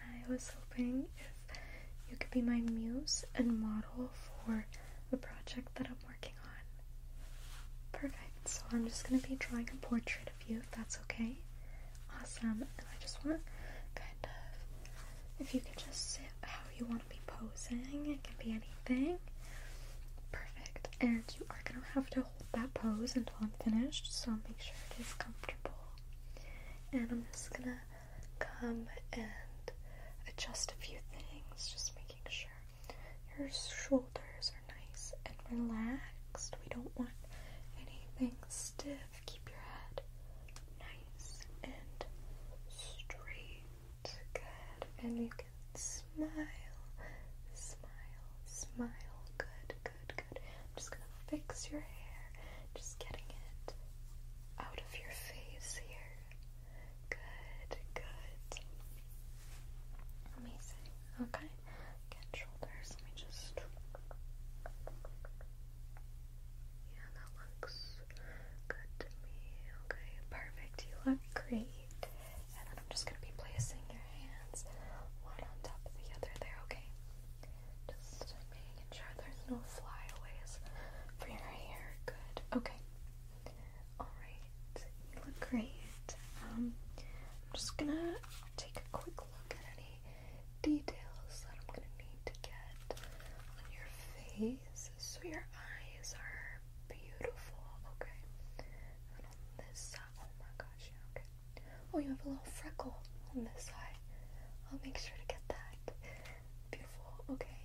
I was hoping if you could be my muse and model for a project that I'm working on. Perfect. So I'm just going to be drawing a portrait of you if that's okay. Awesome. And I just want to kind of, if you could just sit how you want to be posing, it can be anything. Perfect. And you are going to have to that pose until I'm finished, so make sure it is comfortable. And I'm just gonna come and adjust a few things, just making sure your shoulders are nice and relaxed. We don't want anything stiff. Keep your head nice and straight. Good. And you can smile, smile, smile. Good good, good. I'm just gonna fix your hair, just getting it out of your face here. Good, good. Amazing. Okay. Again, shoulders. Let me just. Yeah, that looks good Okay, perfect. You look great. And then I'm just gonna be placing hands one on top of the other there, okay? Just making sure there's no flyaways for your hair. Good. Okay. Alright. You look great. Um, I'm just gonna take a quick look at any details that I'm gonna need to get on your face so your eyes are beautiful, okay? And on this side, oh my gosh, okay. Oh, you have a little freckle on this side. I'll make sure to get that. Beautiful. Okay.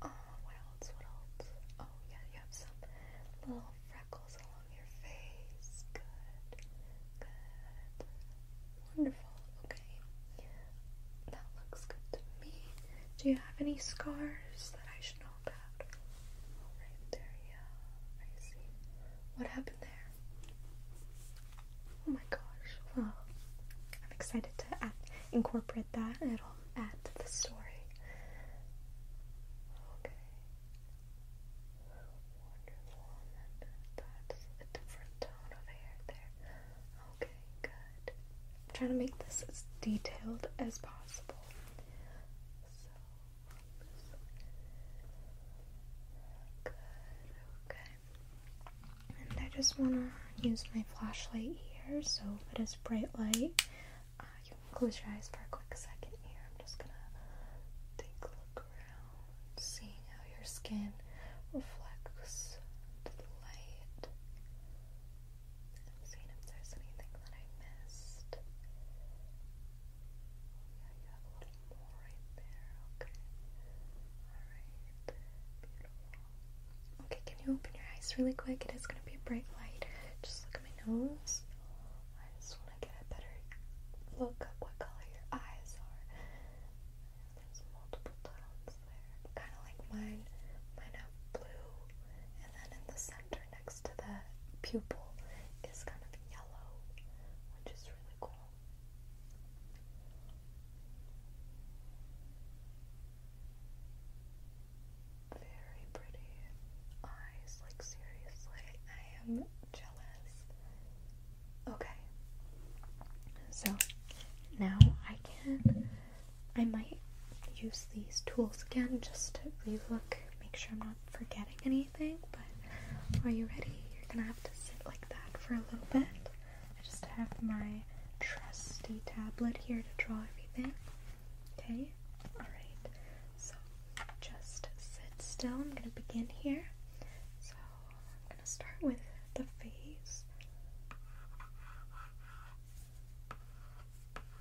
Uh, what else? What else? Oh, yeah, you have some little freckles along your face. Good. Good. Wonderful. Okay. That looks good to me. Do you have any scars that I should know about? right there, yeah. I see. What happened there? Oh my gosh. Well, I'm excited to incorporate that. It'll add to the story. Okay. Wonderful. that's a different tone over here. There. Okay, good. I'm trying to make this as detailed as possible. Good, okay. And I just want to use my flashlight here, so it is bright light. Uh, you can close your eyes for a quick second here. I'm just gonna take a look around, seeing how your skin reflects the light. i seeing if there's anything that I missed okay. can you open your eyes really quick? It is going to be a bright light. Just look at my nose. I just want to get a better look at what color your eyes are. There's multiple tones there, kind of like mine. Mine have blue, and then in the center next to the pupil is kind of yellow, which is really cool. Very pretty eyes, like seriously, I am jealous. Okay, so now I can, I might use these tools again just to relook, make sure I'm not forgetting any but are you ready? You're gonna have to sit like that for a little bit. I just have my trusty tablet here to draw everything. Okay? Alright. So just sit still. I'm gonna begin here. So I'm gonna start with the face.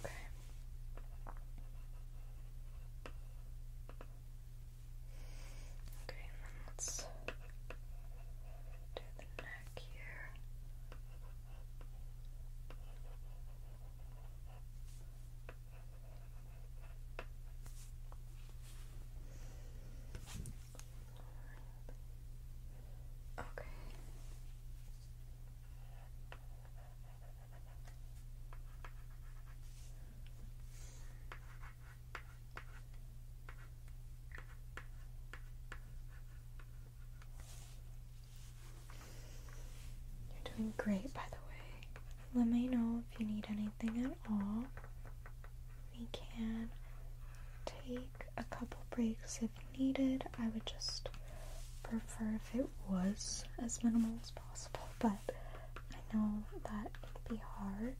Okay. Okay, let's do the neck here. Okay. You're doing great, by the way. Let me know if you need anything at all. We can take a couple breaks if needed. I would just prefer if it was as minimal as possible, but I know that can be hard.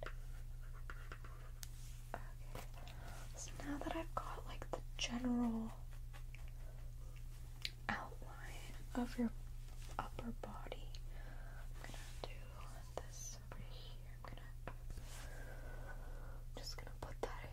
so now that I've got like the general outline of your upper body, I'm gonna do this over here. I'm just gonna put that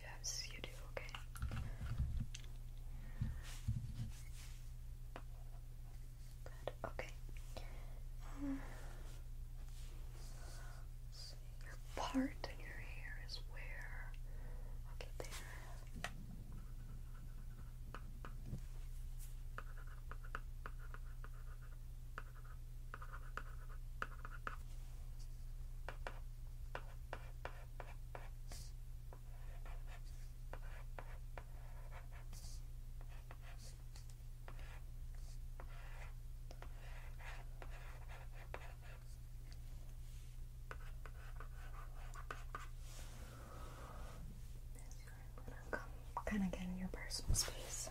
Yes, you do, okay. Good, okay. your part in your hair is where? Okay, there. I'm gonna come kind of get in your personal space.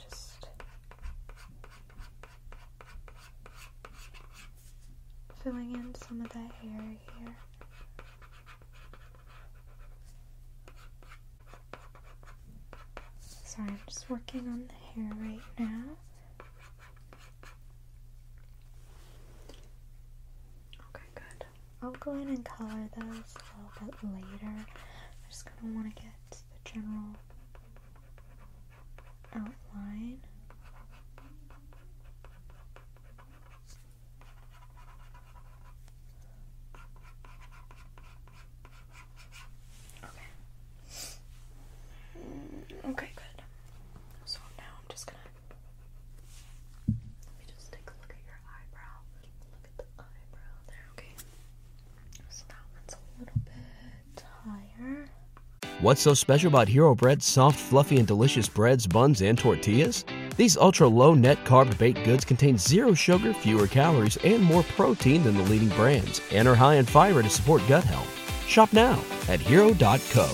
just filling in some of that area here. Sorry, I'm just working on the hair right now. Okay, good. I'll go in and color those a little bit later. i just kind of want to get the general outline. Okay. good. So now I'm just gonna let me just take a look at your eyebrow. Look at the eyebrow there, okay. So that one's a little bit higher. What's so special about Hero Bread soft, fluffy, and delicious breads, buns, and tortillas? These ultra low net carb baked goods contain zero sugar, fewer calories, and more protein than the leading brands, and are high in fiber to support gut health. Shop now at hero.co.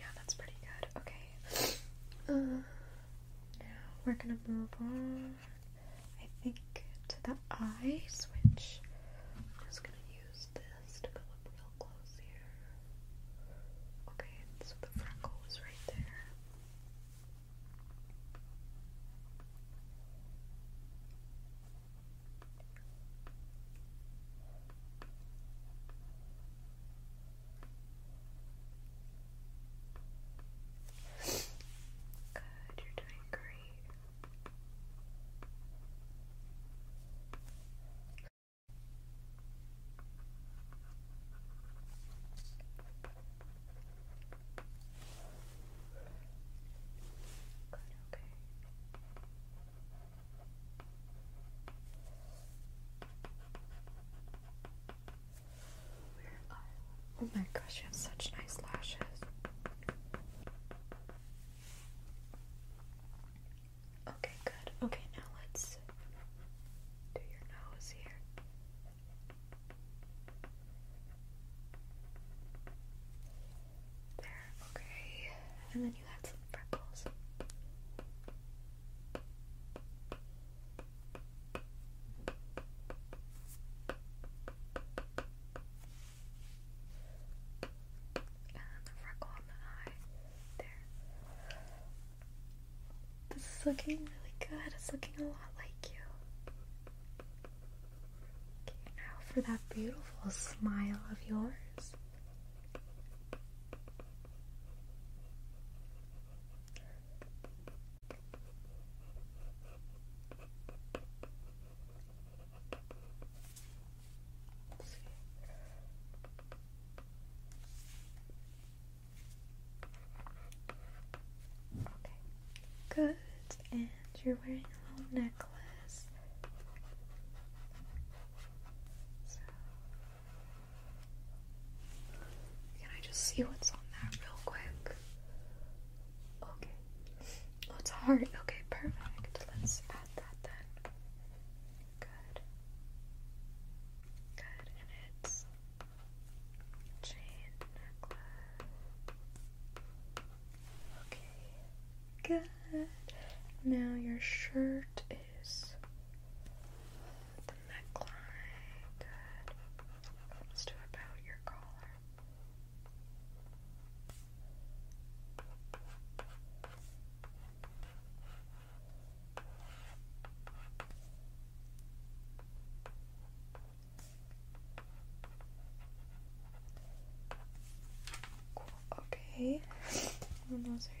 Yeah, that's pretty good. Okay. Uh, now we're gonna move on. I think, to the eyes, which I'm just going to use this to come up real close here. Okay, so the freckle was right there. Good, you're doing great. Good, okay. Oh my gosh, you have such nice lashes. Okay, good. Okay, now let's do your nose here. There, okay. And then you had some freckles. And the freckle on the eye. There. This is looking really good. It's looking a lot like you. Okay, now for that beautiful smile of yours. Good, and you're wearing a little necklace. Can I just see what's on that real quick? Okay. Oh, it's heart. Okay, perfect. Let's add that then. Good. Good. And it's chain necklace. Okay. Good. Now your shirt is neckline. Good. let about your collar. Okay. And those are your.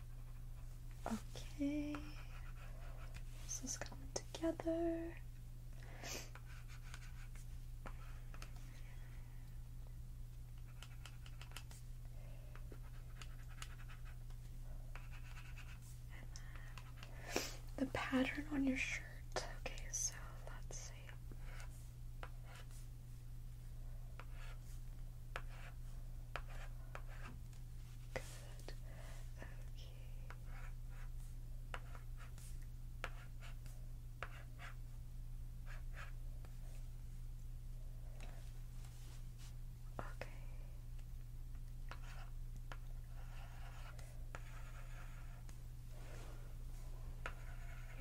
Okay, this is coming together. the pattern on your shirt. Okay, so let's see. Good. Okay. Okay.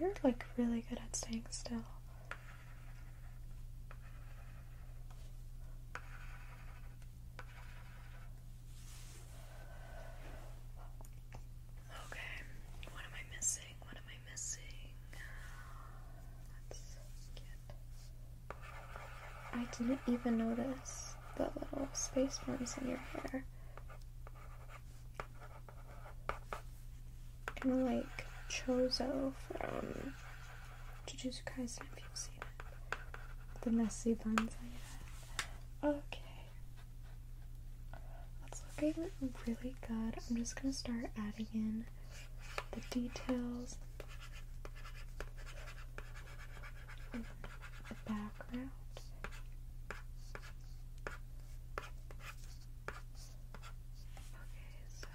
You're like really good at staying still. Okay, what am I missing? What am I missing? Let's get. I didn't even notice the little space worms in your hair. Kind of like Chozo from Jujutsu Kaisen if you've seen it. The messy buns I have. Okay. That's looking really good. I'm just gonna start adding in the details. The background. Okay, so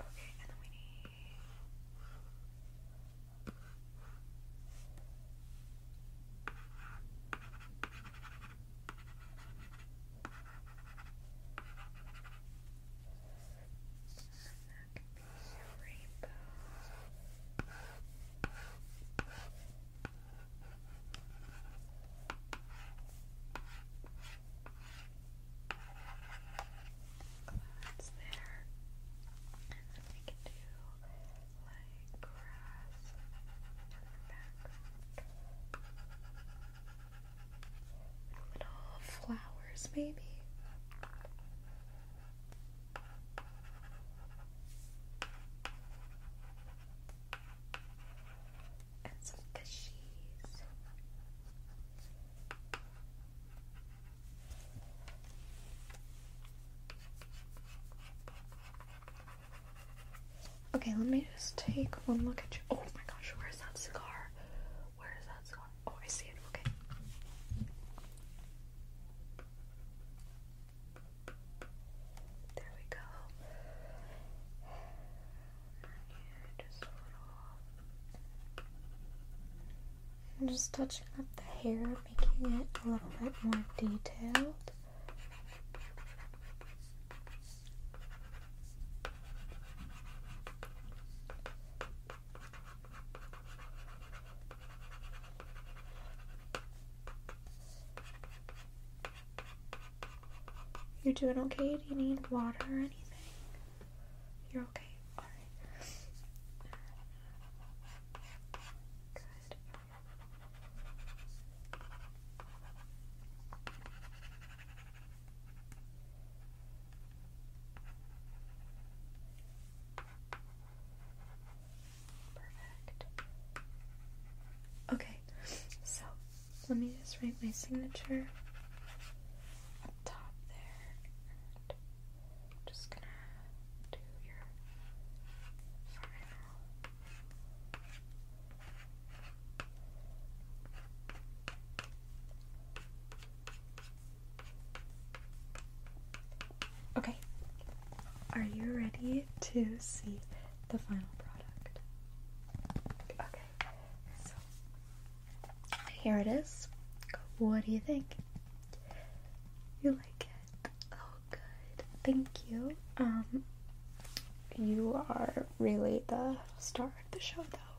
Okay, and then we need. And that could be a rainbow. That's there. And we can do like grass in the background. Little flowers maybe and some cashews. Okay, let me just take one look at you. Oh my gosh, where's that cigar? Where is that cigar? Oh, I see it. Okay. There we go. I'm just touching up the hair, making it a little bit more detailed. You're doing okay? Do you need water or anything? You're okay? Alright. Good. Perfect. Okay, so let me just write my signature top there. just gonna do your final. Okay, are you ready to see the final product? Okay, so here it is. What do you think? You like it? Oh, good. Thank you. Um, you are really the star of the show, though,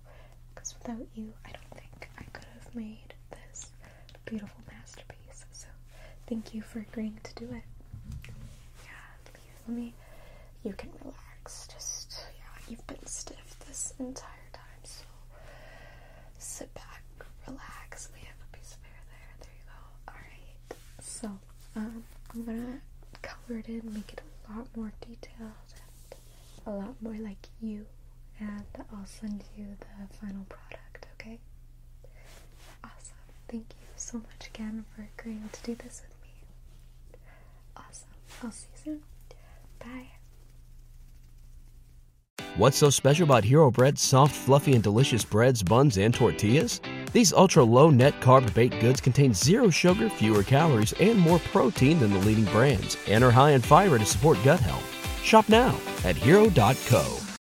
because without you, I don't think I could have made this beautiful masterpiece. So thank you for agreeing to do it. Yeah, let me. You can relax. Just yeah, you've been stiff this entire time, so sit back, relax. We have a piece of hair there. There you go. All right. So um, I'm gonna color it in, make it a lot more detailed and a lot more like you. And I'll send you the final product. Okay. Awesome. Thank you so much again for agreeing to do this with me. Awesome. I'll see you soon. Bye. What's so special about Hero Bread's soft, fluffy, and delicious breads, buns, and tortillas? These ultra low net carb baked goods contain zero sugar, fewer calories, and more protein than the leading brands, and are high in fiber to support gut health. Shop now at hero.co.